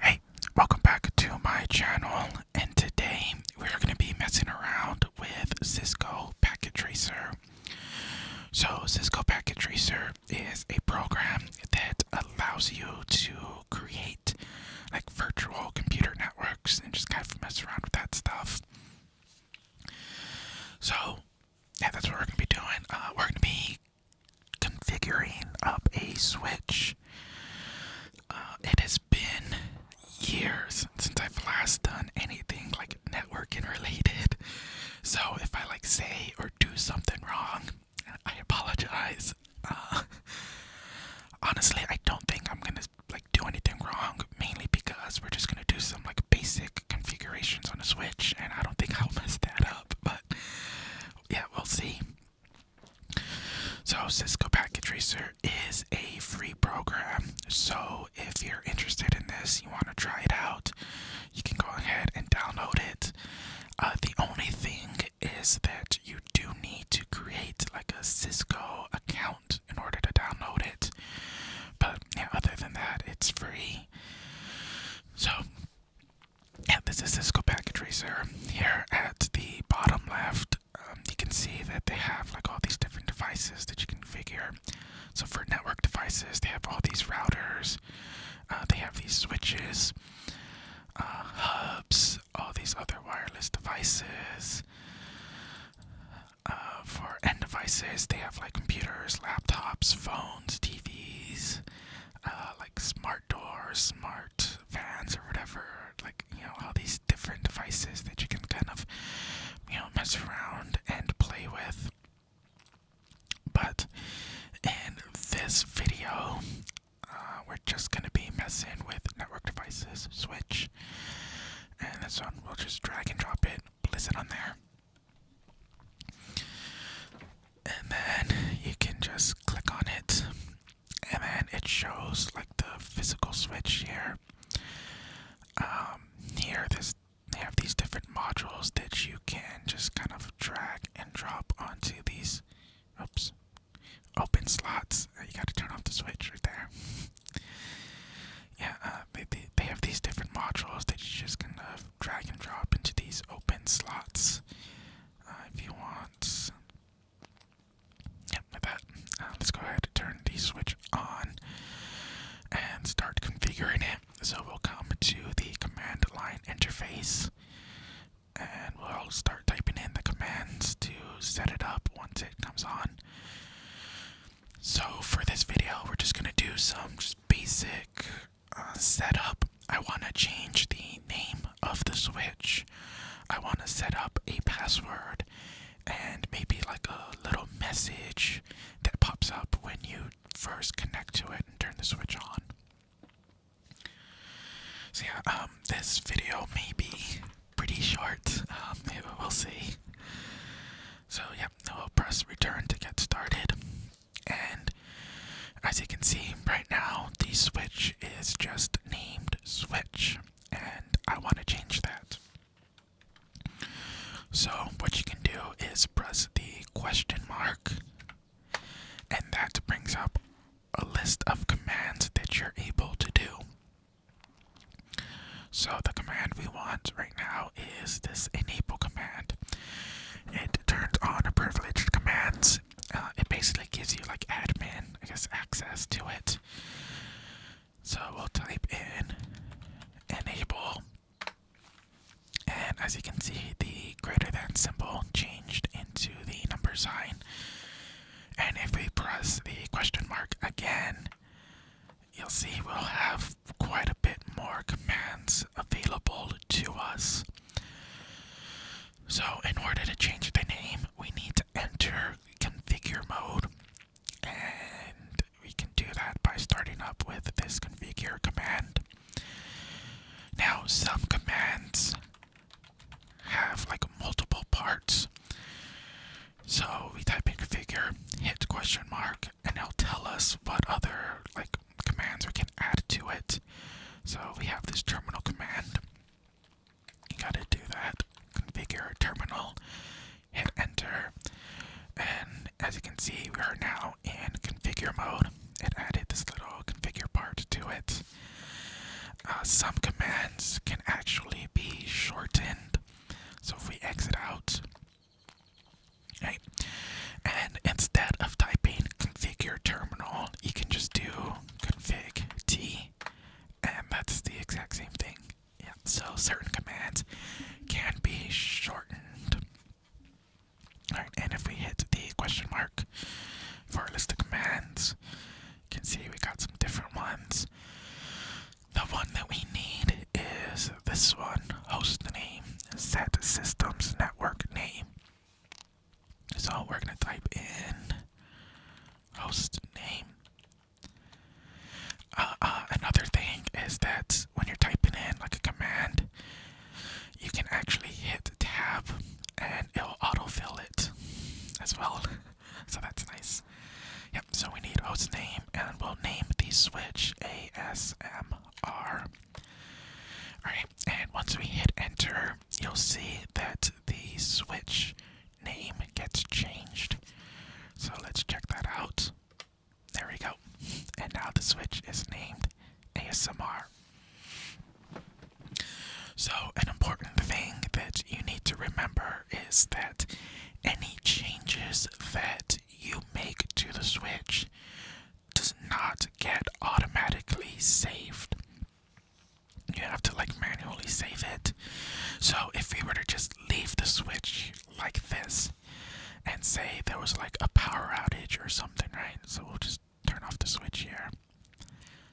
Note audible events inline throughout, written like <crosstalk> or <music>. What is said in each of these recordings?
Hey, welcome back to my channel, and today we're going to be messing around with Cisco Packet Tracer. So, Cisco Packet Tracer is a program that allows you to create like virtual computer networks and just kind of mess around with that stuff. So, yeah, that's what we're going to be doing. Uh, we're going to be configuring up a Switch. Uh, it has been years since I've last done anything like networking related. So if I like say or do something wrong, I apologize. Uh, honestly, I don't think I'm gonna like do anything wrong, mainly because we're just gonna do some like basic configurations on a Switch, and I don't think I'll mess that up. But yeah, we'll see. So, Cisco Packet Tracer is a free program. So, if you're interested in this, you want to try it out, you can go ahead and download it. Uh, the only thing is that you do need to create like a Cisco account in order to download it. But yeah, other than that, it's free. So, this is Cisco Packet Tracer. Here at the bottom left, um, you can see that they have like all these different devices that you configure. So for network devices, they have all these routers, uh, they have these switches, uh, hubs, all these other wireless devices. Uh, for end devices, they have like computers, laptops, phones, TVs, uh, like smart doors, smart fans, or whatever. Like you know, all these different devices that you can kind of you know mess around and play with. But in this video, uh, we're just gonna be messing with network devices, Switch, and this one we'll just drag and drop it, place it on there and then you can just click on it and then it shows like the physical switch here um here this they have these different modules that you can just kind of drag and drop onto these oops open slots uh, you got to turn off the switch right there <laughs> yeah uh, they, they have these different modules that you just kind of drag and drop into these open slots uh, if you want. Yep, with uh, that, let's go ahead and turn the switch on and start configuring it. So we'll come to the command line interface and we'll start typing in the commands to set it up once it comes on. So for this video, we're just gonna do some just basic uh, setup, I want to change the name of the Switch. I want to set up a password and maybe like a little message that pops up when you first connect to it and turn the Switch on. So yeah, um, this video may be pretty short. Um, <laughs> we'll see. So yeah, i will press return to get started. And as you can see right now, the Switch is just named Switch, and I want to change that. So, what you can do is press the question mark, and that brings up a list of commands that you're able to do. So, the command we want right now is this enable command? It turns on privileged commands. Uh, it basically gives you like admin, I guess, access to it. So we'll type in enable, and as you can see, the greater than symbol changed into the number sign. And if we press the question mark again, you'll see we'll have quite a bit more commands available to us. So, in order to change the name, we need to enter configure mode, and we can do that by starting up with this configure command. Now, some commands have like multiple parts. So we type in configure, hit question mark, and it'll tell us what other like commands we can add to it. So we have this terminal command. You gotta do that. Configure terminal, hit enter, and as you can see, we are now in configure mode. It added this little configure part to it. Uh, some commands can actually be shortened. So if we exit out, Right? And instead of typing configure terminal, you can just do config t, and that's the exact same thing. Yeah, so certain commands can be shortened. Alright, and if we hit the question mark for our list of commands, you can see we got some different ones. The one that we need is this one host name set systems network name. So we're gonna type in host name. Uh, uh, another thing is that when you're typing in like a command, you can actually hit tab and it'll autofill it as well. <laughs> so that's nice. Yep, so we need host name and we'll name the switch ASM. R. Alright, and once we hit enter, you'll see that the switch name gets changed. So let's check that out. There we go. And now the switch is named ASMR. So, an important thing that you need to remember is that any changes that you make to the Switch does not get automatically saved. You have to like manually save it. So if we were to just leave the Switch like this and say there was like a power outage or something, right? So we'll just turn off the Switch here.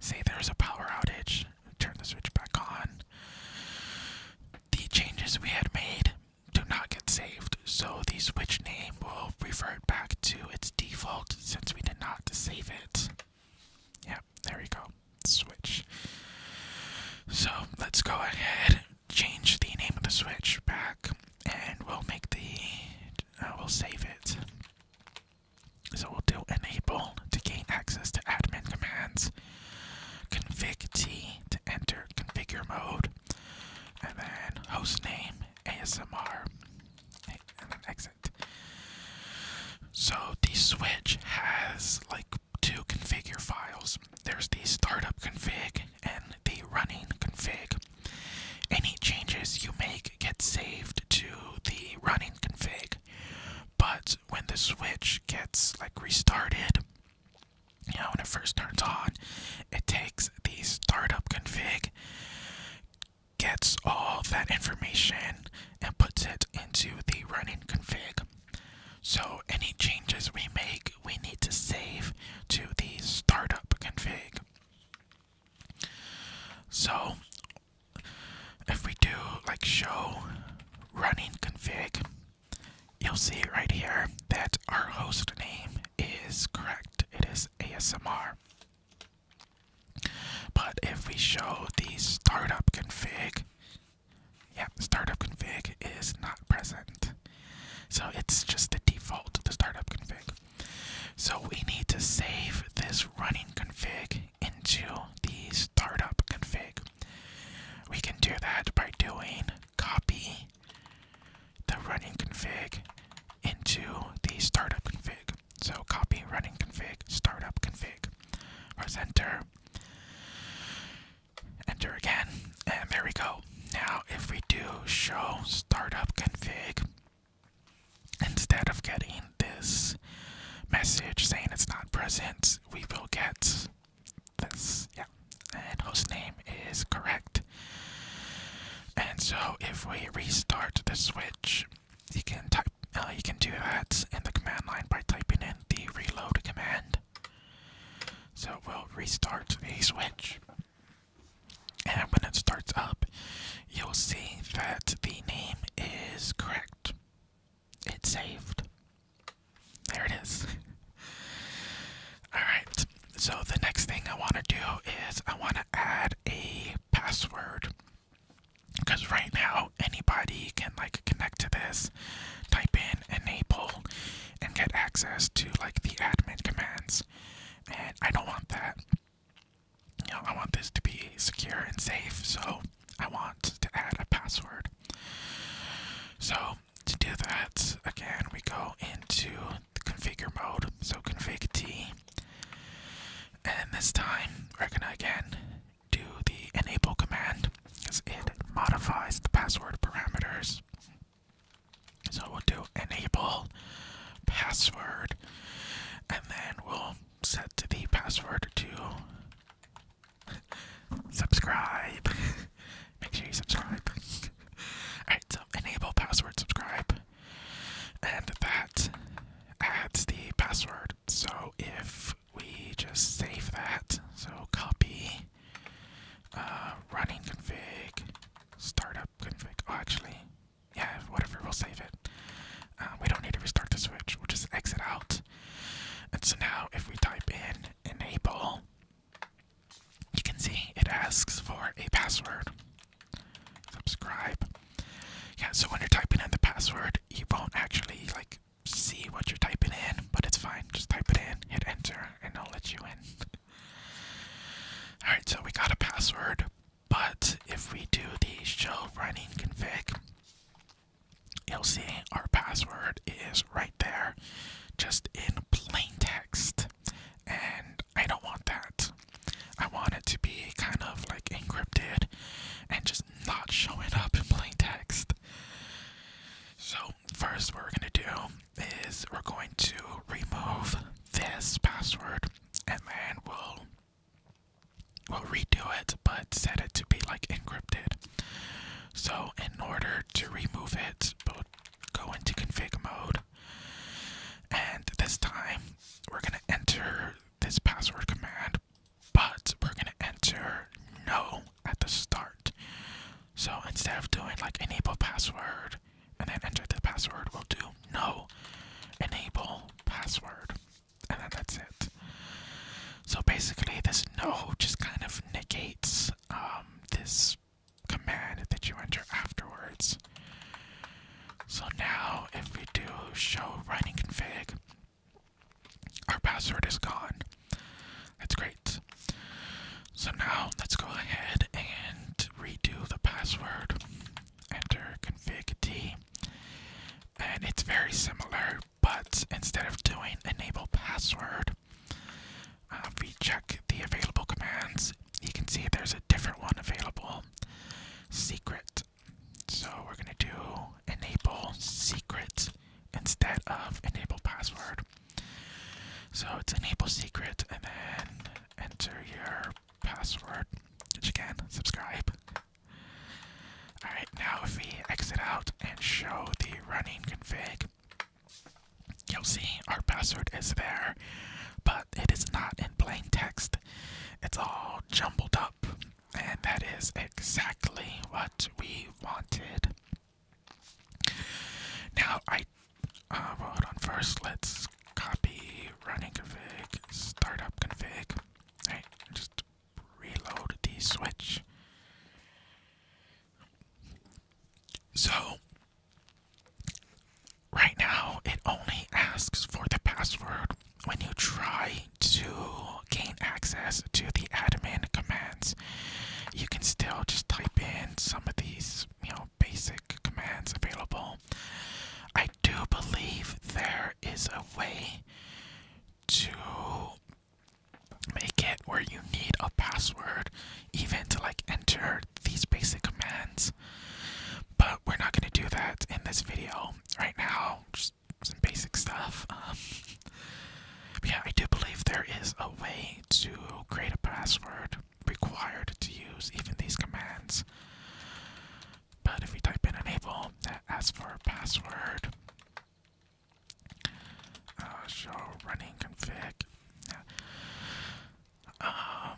Say there's a power outage, turn the Switch back on. The changes we had made do not get saved, so the switch name will revert back to its default since we did not save it. Yep, there we go. Switch. So let's go ahead, change the name of the switch back, and we'll make the uh, we'll save it. So we'll do enable to gain access to admin commands, config T to enter configure mode, and then host name ASMR, and then exit. So the Switch has like two configure files. There's the startup config and the running config. Any changes you make get saved to the running config. But when the Switch gets like restarted, you when it first turns on, it takes the startup config, gets all that information, and puts it into the running config. So any changes we make, we need to save to the startup config. So if we do like show running config you'll see right here that our host name is correct. It is ASMR. But if we show the startup config, yep, startup config is not present. So it's just the default, the startup config. So we need to save this running config into the startup config. We can do that by doing copy the running config into the startup config. So copy running config, startup config. Press enter. Enter again. And there we go. Now if we do show startup config, instead of getting this message saying it's not present, we will get this, yeah, and host name is correct. And so if we restart the switch, you can type, uh, you can do that in the command line by typing in the reload command. So we'll restart the switch, and when it starts up, you'll see that the name is correct. It saved. There it is. <laughs> Alright, so the next thing I want to do is I want to add a password. Because right now, anybody can like connect to this, type in enable, and get access to like the admin commands. And I don't want that. You know, I want this to be secure and safe, so I want to add a password. So to do that, again, we go into the configure mode. So config T. And this time, we're gonna again do the enable command because it modifies the password parameters. So we'll do enable password and then we'll set the password to <laughs> subscribe. <laughs> Make sure you subscribe. <laughs> Alright, so enable password subscribe. And that adds the password. So if we just save that, so copy uh, running config, startup config. Oh, actually, yeah, whatever, we'll save it. Uh, we don't need to restart the switch, we'll just exit out. And so now if we type in in April, you can see it asks for a password. Subscribe. Yeah, so when you're typing in the password, you won't actually like see what you're typing in, but it's fine. Just type it in, hit enter, and i will let you in. Alright, so we got a password, but if we do the show running config, You'll see our password is right there, just in plain text. And I don't want that. I want it to be kind of like encrypted and just not showing up in plain text. So, first, what we're going to do is we're going to remove this password and then we'll. We'll redo it, but set it to be like encrypted. So in order to remove it, we'll go into config mode. And this time we're gonna enter this password command, but we're gonna enter no at the start. So instead of doing like enable password and then enter the password, we'll do no enable password and then that's it. So basically, this no just kind of negates um, this command that you enter afterwards. So now, if we do show running config, our password is gone. That's great. So now let's go ahead and redo the password. Enter config t, and it's very similar but instead of doing enable password, uh, we check the available commands, you can see there's a different one available secret. So we're going to do enable secret instead of enable password. So it's enable secret and then enter your password, which again, subscribe. Alright, now if we exit out and show the running config, you'll see our password is there, but it is not in plain text. It's all jumbled up, and that is exactly what we wanted. Now, I. Uh, hold on, first let's copy running config, startup config. Alright, just reload the switch. So, right now it only asks for the password when you try to gain access to the admin commands. You can still just type in some of these, you know, basic commands available. I do believe there is a way to make it where you need a password even to like enter these basic commands but we're not going to do that in this video right now just some basic stuff <laughs> um, yeah i do believe there is a way to create a password required to use even these commands but if we type in enable that asks for a password uh, show running config. Um,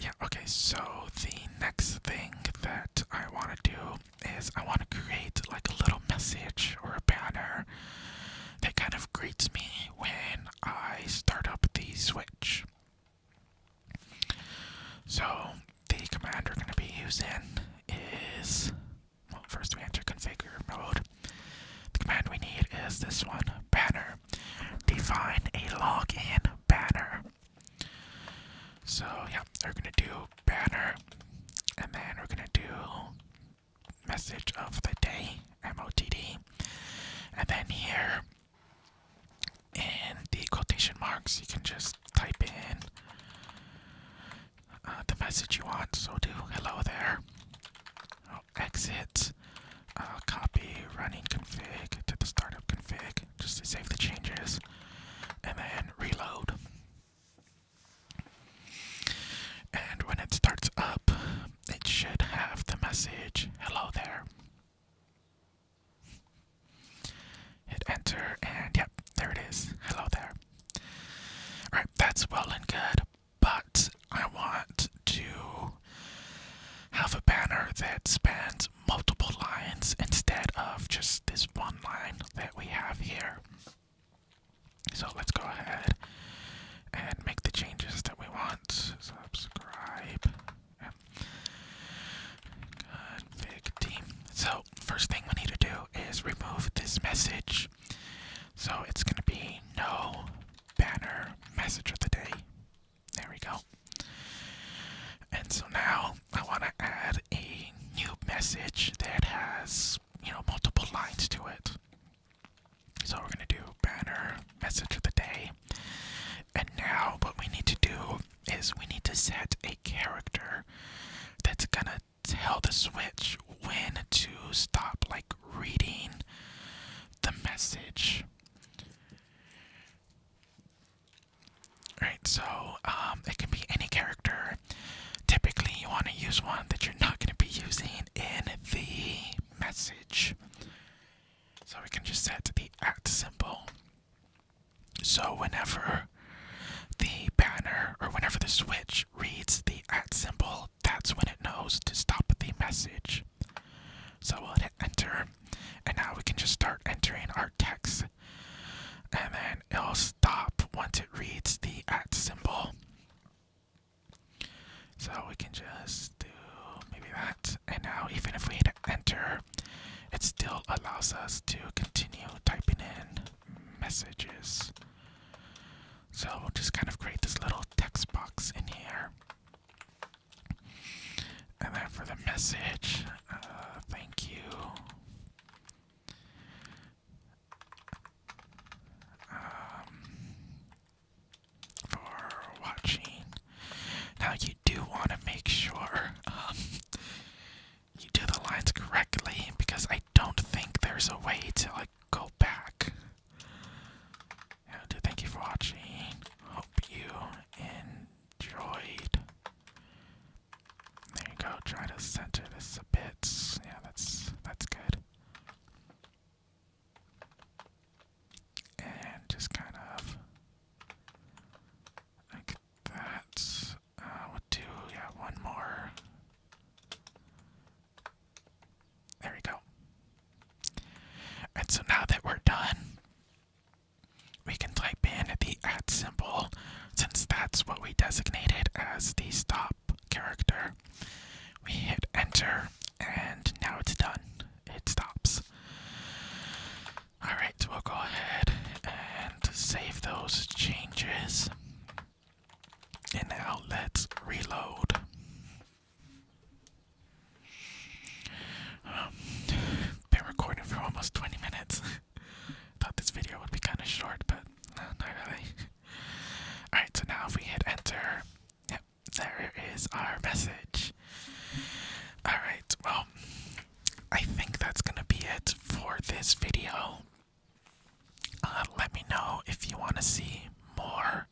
yeah. Okay. So the next thing that I want to do is I want to create like a little message or a banner that kind of greets me when I start up the switch. So the command we're going to be using is well first we enter configure mode. The command we need is this one, banner. Define a login banner. So yeah, we're gonna do banner and then we're gonna do message of the day, MOTD. And then here in the quotation marks you can just type in uh, the message you want. So do hello there. exit. Uh, copy running config to the startup config just to save the changes, and then reload. And when it starts up, it should have the message hello there. Hit enter, and yep, there it is. Hello there. Alright, that's well and good, but I want to have a banner that spans multiple lines instead of just this one line that we have here. So let's go ahead and make the changes that we want. Subscribe Good team. So first thing we need to do is remove this message. So it's gonna be no banner message of the day. There we go. And so now I wanna add a new message that has, you know, multiple lines to it. So we're gonna do banner message of the day. And now what we need to do is we need to set a character that's gonna tell the switch when to stop like reading the message. Alright, so um, it can be any character. Typically, you want to use one that you're not going to be using in the message. So we can just set the at symbol so whenever the banner or whenever the switch reads the at symbol, that's when it knows to stop the message. So we'll hit enter, and now we can just start entering our text, and then it'll stop once it reads the at symbol. So we can just do maybe that, and now even if we enter, it still allows us to continue typing in messages. So we'll just kind of create this little text box in here. And then for the message, uh, thank you. Um, for watching now you do want to make sure um, you do the lines correctly because I don't think there's a way to like go back. Yeah, do thank you for watching. Hope you enjoyed. There you go. Try to center this a bit. Yeah, that's that's good. And just kind of that. Uh, do, yeah, one more. There we go. And so now that we're done, we can type in the at symbol since that's what we designated as the stop character. We hit enter, and now it's done. It stops. Alright, we'll go ahead and save those changes. And now let's reload. Um, been recording for almost 20 minutes. <laughs> Thought this video would be kind of short, but not really. Alright, so now if we hit enter, yep, there is our message. Alright, well, I think that's gonna be it for this video. Uh, let me know if you want to see more.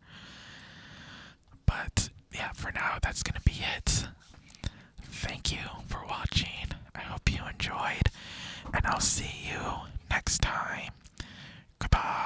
But yeah, for now, that's gonna be it. Thank you for watching. I hope you enjoyed, and I'll see you next time. Goodbye.